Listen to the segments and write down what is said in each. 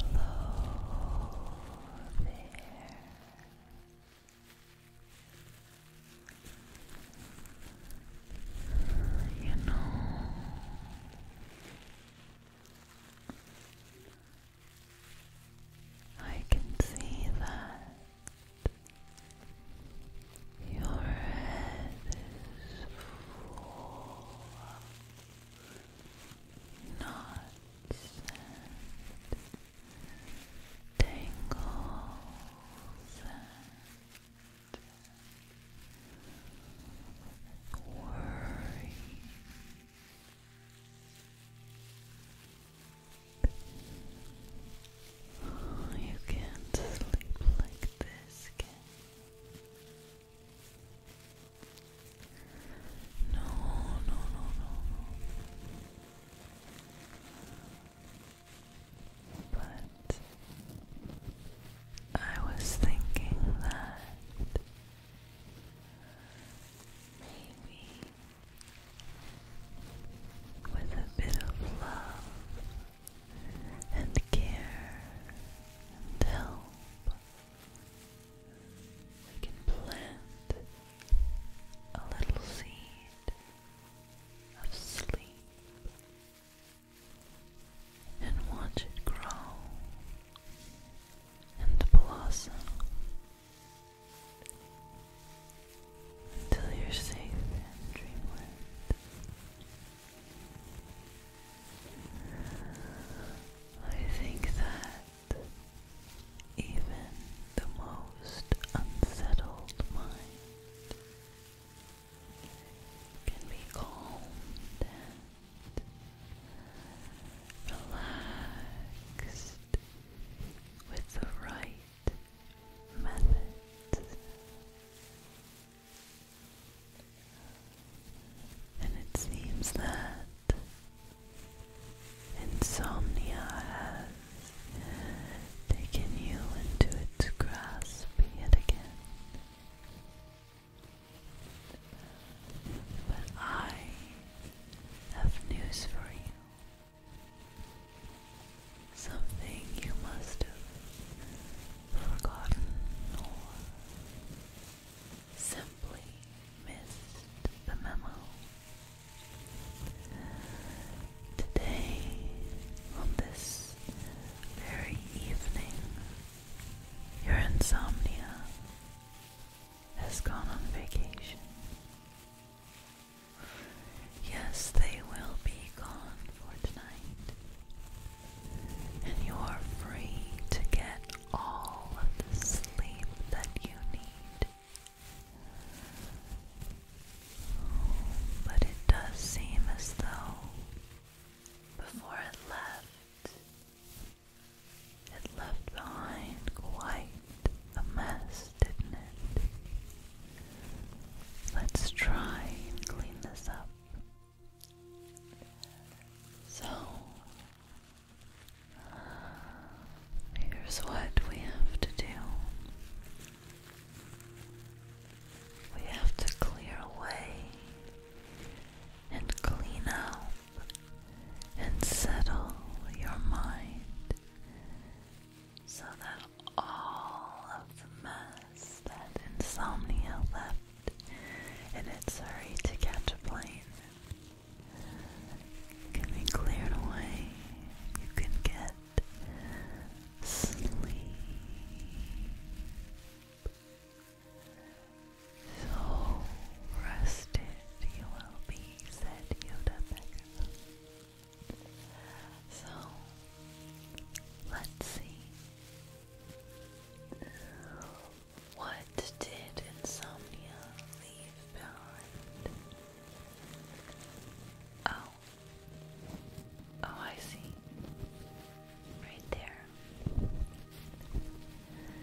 Hello there. You know, I can see that your head is full of knots and tangles and worry. You can't sleep like this, can no, no, no, no, But I was thinking that maybe with a bit of love and care and help. We can plant a little seed of sleep and watch it grow and blossom until you're safe and dreamland. I think that even the most unsettled mind can be calmed and relaxed with the right methods. And it seems that insomnia has taken you into its grasp yet again. But I have news for you. Something you must have forgotten or simply missed the memo. Today, on this very evening, your insomnia has gone on vacation. Yes, they will be gone for tonight and you are free to get all of the sleep that you need. But it does seem as though before it left, it left behind quite a mess, didn't it? Let's try and clean this up. So, here's what we have to do we have to clear away and clean up and settle your mind so that all of the mess that insomnia left in its hurry to catch a plane can be cleared away. You can get sleep. So rested you will be, said Yoda So, let's see what did insomnia leave behind? Oh. Oh, I see. Right there.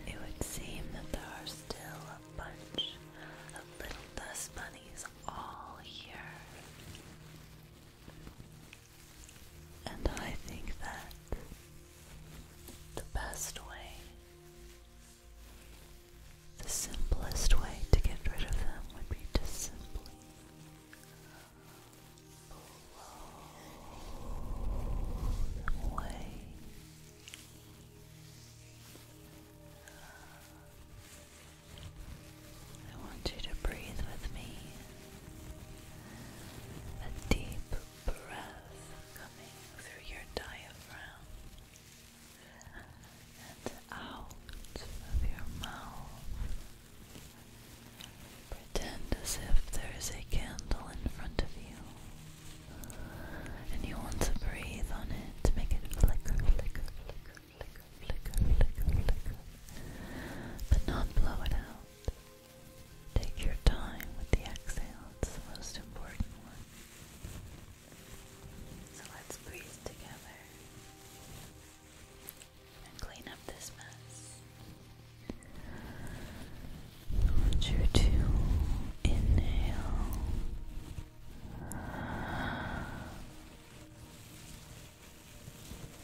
It would seem that there are still a bunch of little dust bunnies all here. And I think that the best way, the simplest way to get rid of them would be to simply blow away. I want you to breathe with me a deep breath coming through your diaphragm and out of your mouth. Pretend as if there is a candle in front of you. And you want to breathe on it to make it flicker, flicker, flicker, flicker, flicker, flicker, flicker. But not blow it out. Take your time with the exhale, it's the most important one. So let's breathe together and clean up this mess. I want inhale. Breathe with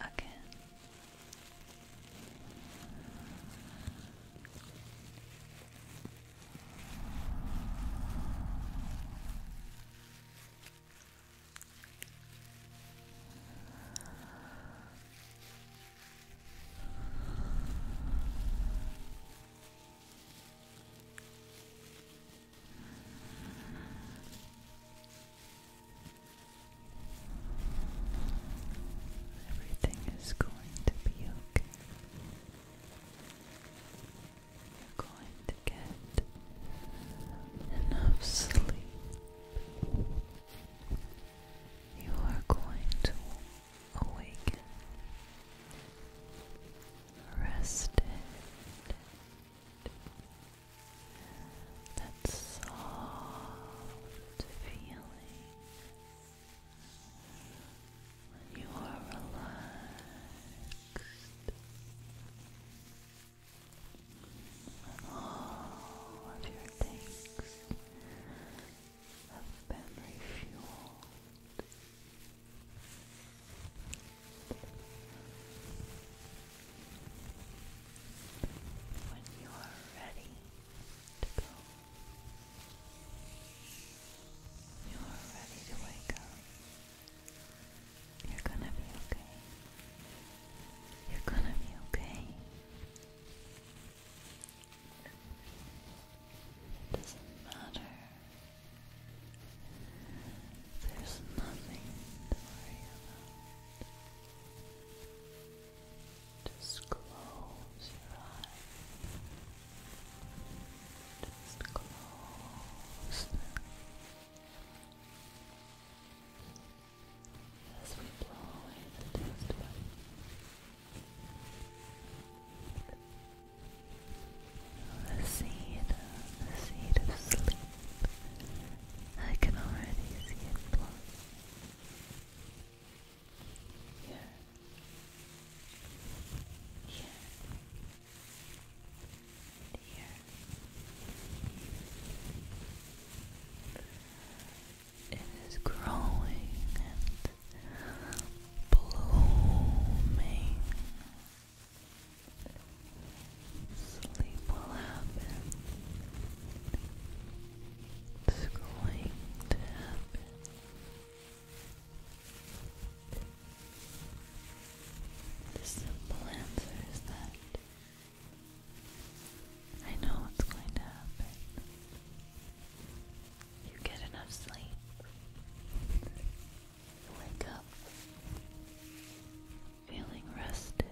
again. Good. Everything is going to be okay. You're going to get enough sleep. You are going to awaken, rested, that soft feeling when you are relaxed and all of your things have been refueled when you are ready to go. You are ready to wake up. You're gonna be okay. You're gonna be okay. It doesn't matter. There's nothing to worry about. Just close your eyes. Just close them. As we blow away the dust The seed, the seed of sleep. I can already see it blow. Here. It is growing and blooming. Sleep will happen. It's going to happen. The simple answer is that I know what's going to happen. You get enough sleep. You wake up feeling rested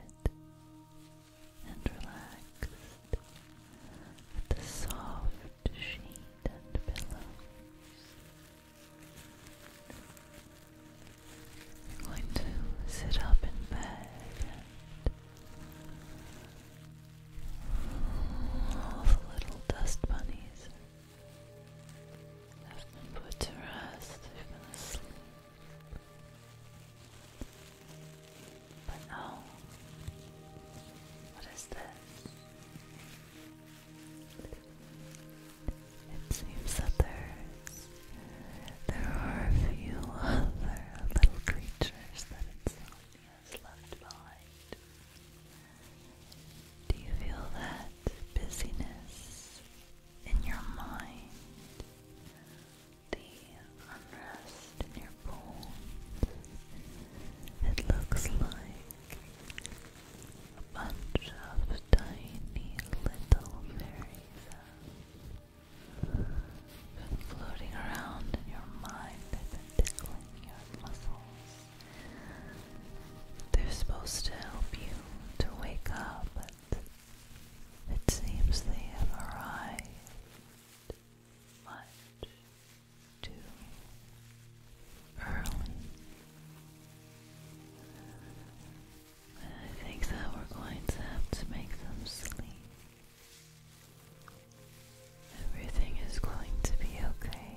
and relaxed with the soft sheet and pillows. I'm going to sit up in bed and all the little dust bunnies have been put to rest, they've been asleep. But no. What is this? It seems that there's there are a few other little creatures that Insomnia has left behind. Do you feel that busyness in your mind? the unrest in your bones. It looks like a bunch of tiny little fairies floating around in your mind. tickling your muscles. They're supposed to help you to wake up, but it seems they have arrived much too early. I think that we're going to have to make them sleep. Everything is going to be okay.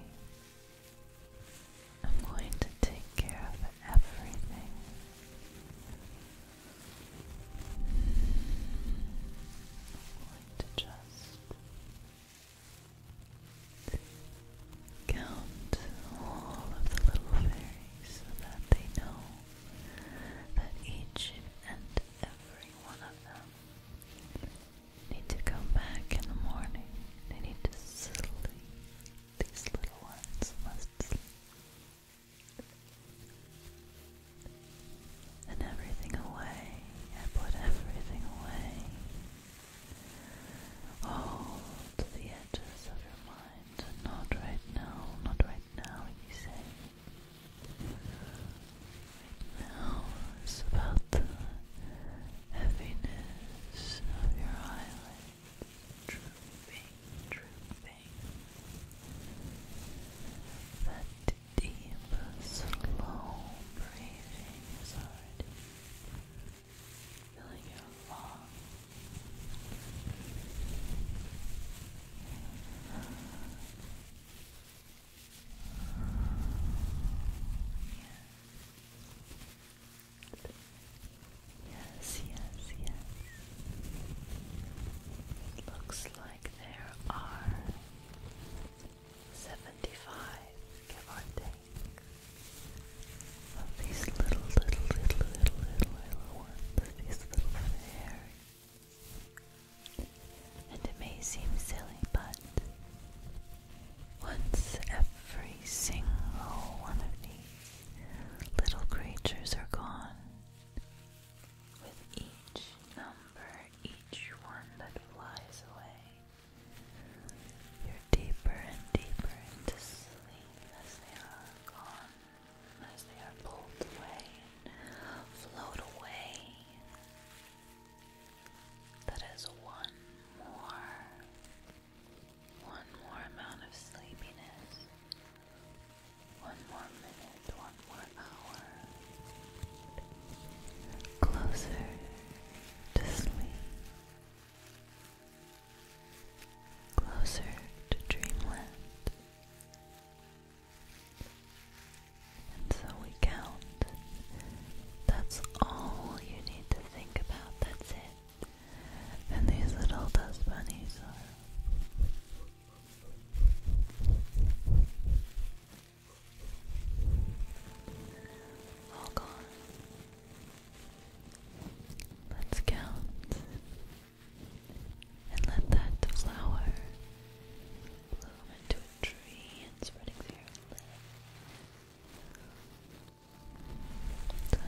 I'm going to take care of everything. I'm going to just count all of the little fairies so that they know that each and every one of them need to come back in the morning. They need to sleep. These little ones and everything away. I put everything away. Hold the edges of your mind. Not right now, not right now, you say. now, it's about the heaviness of your eyelids drooping, drooping. That deep, slow breathing Yes, yes, yes. It looks like there are 75, give of these little, little, little, little, little, little ones, these little fairies. And it may seem silly, but once every single one of these little creatures are gone, with each number, each one that flies away, you're deeper and deeper into sleep as they are gone, as they are pulled away float away. That is one more, one more amount of sleepiness. One more minute, one more hour. Closer to sleep. Closer to dreamland. And so we count. That's all you need to think about. That's it. And these little dust bunnies are all gone. Let's count and let that flower bloom into a tree and spreading through your Seventy-five.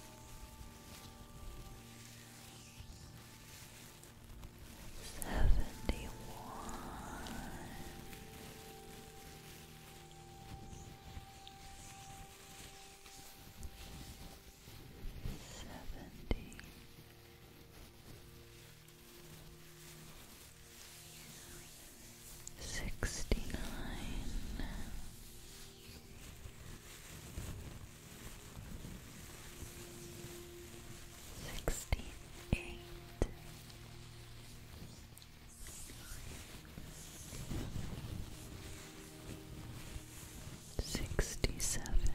Seventy one sixty nine. Sixty eight, sixty seven,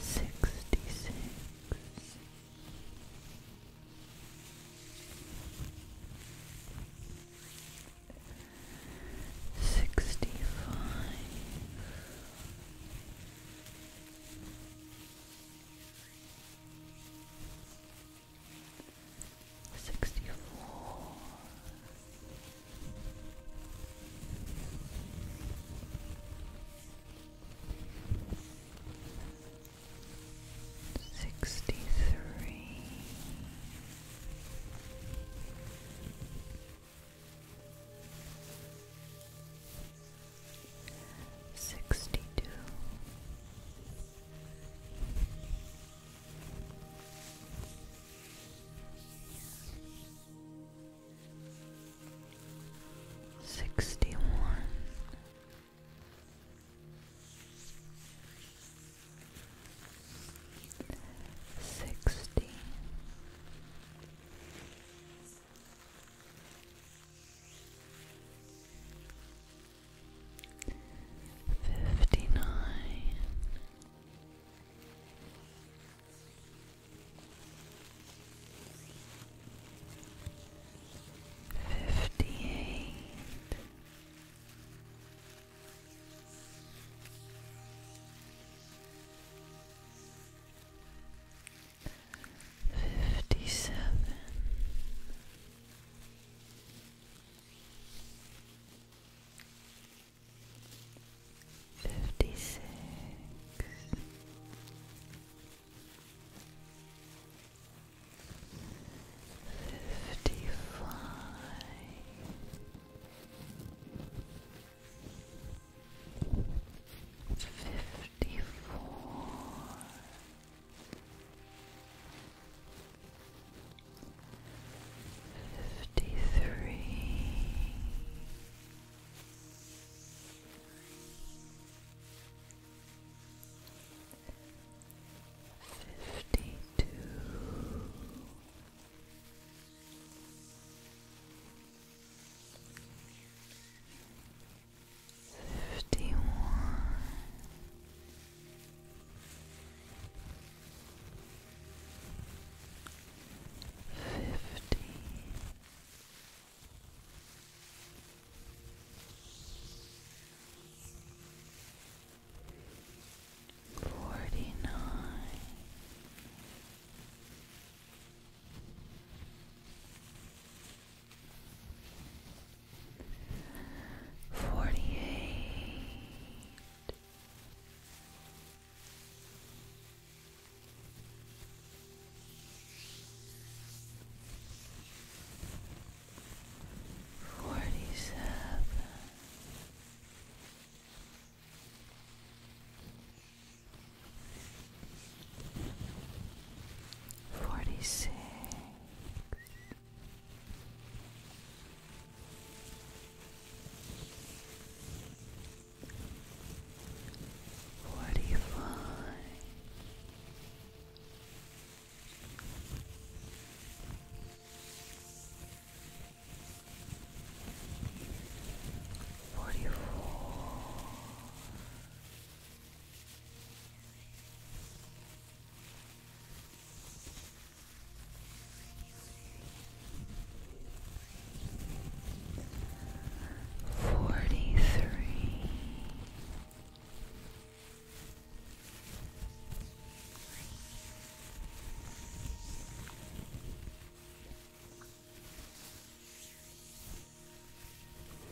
sixty six. Sixty-five. Sixty-four. Sixty-three. Sixty three, sixty two, sixty one. Sixty fifty nine Fifty-eight. Fifty-seven. Fifty-six. Fifty-five, fifty-four, fifty-three, fifty-two fifty-two fifty-one fifty Forty nine. Forty eight. Forty-seven. Forty six, forty five, Forty four. Forty three.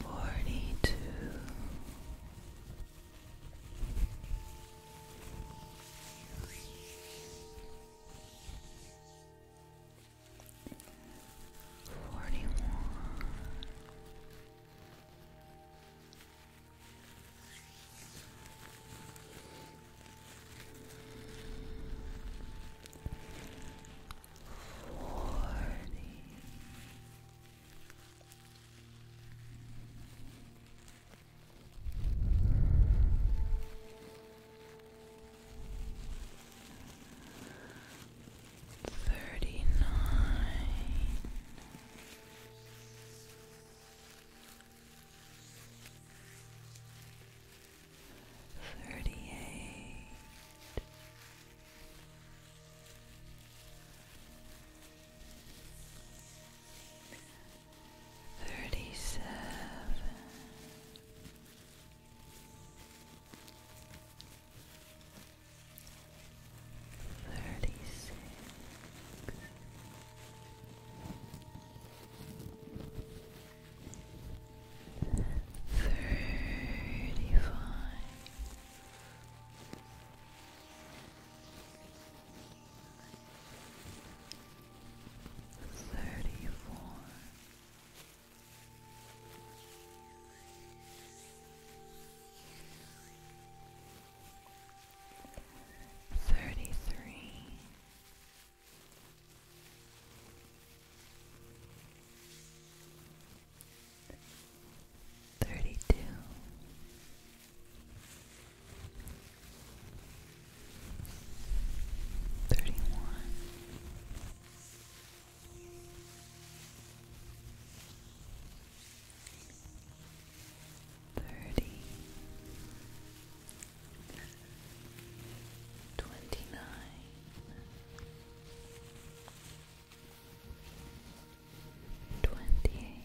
Forty two forty one. Forty. Forty thirty nine. Thirty eight, thirty seven, thirty six. Thirty five. Thirty four. Thirty Thirty-three. Thirty-two. Thirty-one. Thirty twenty nine twenty eight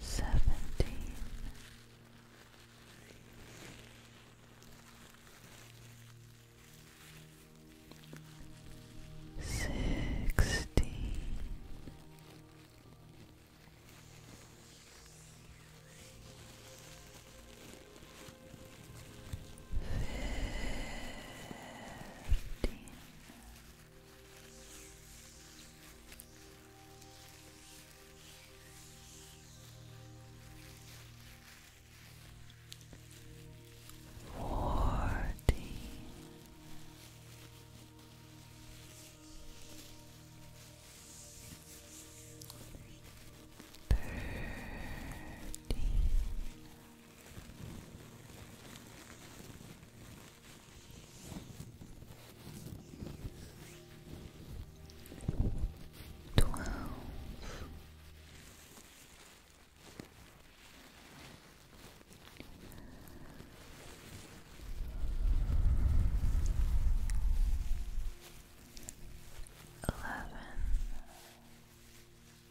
seventeen sixteen fifteen. Forty thirteen Twelve. Eleven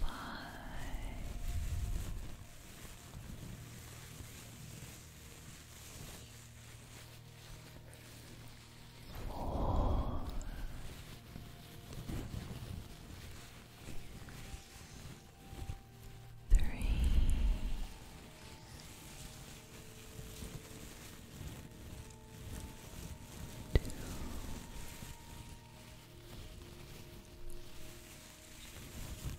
Five. Four. Three. Two zero.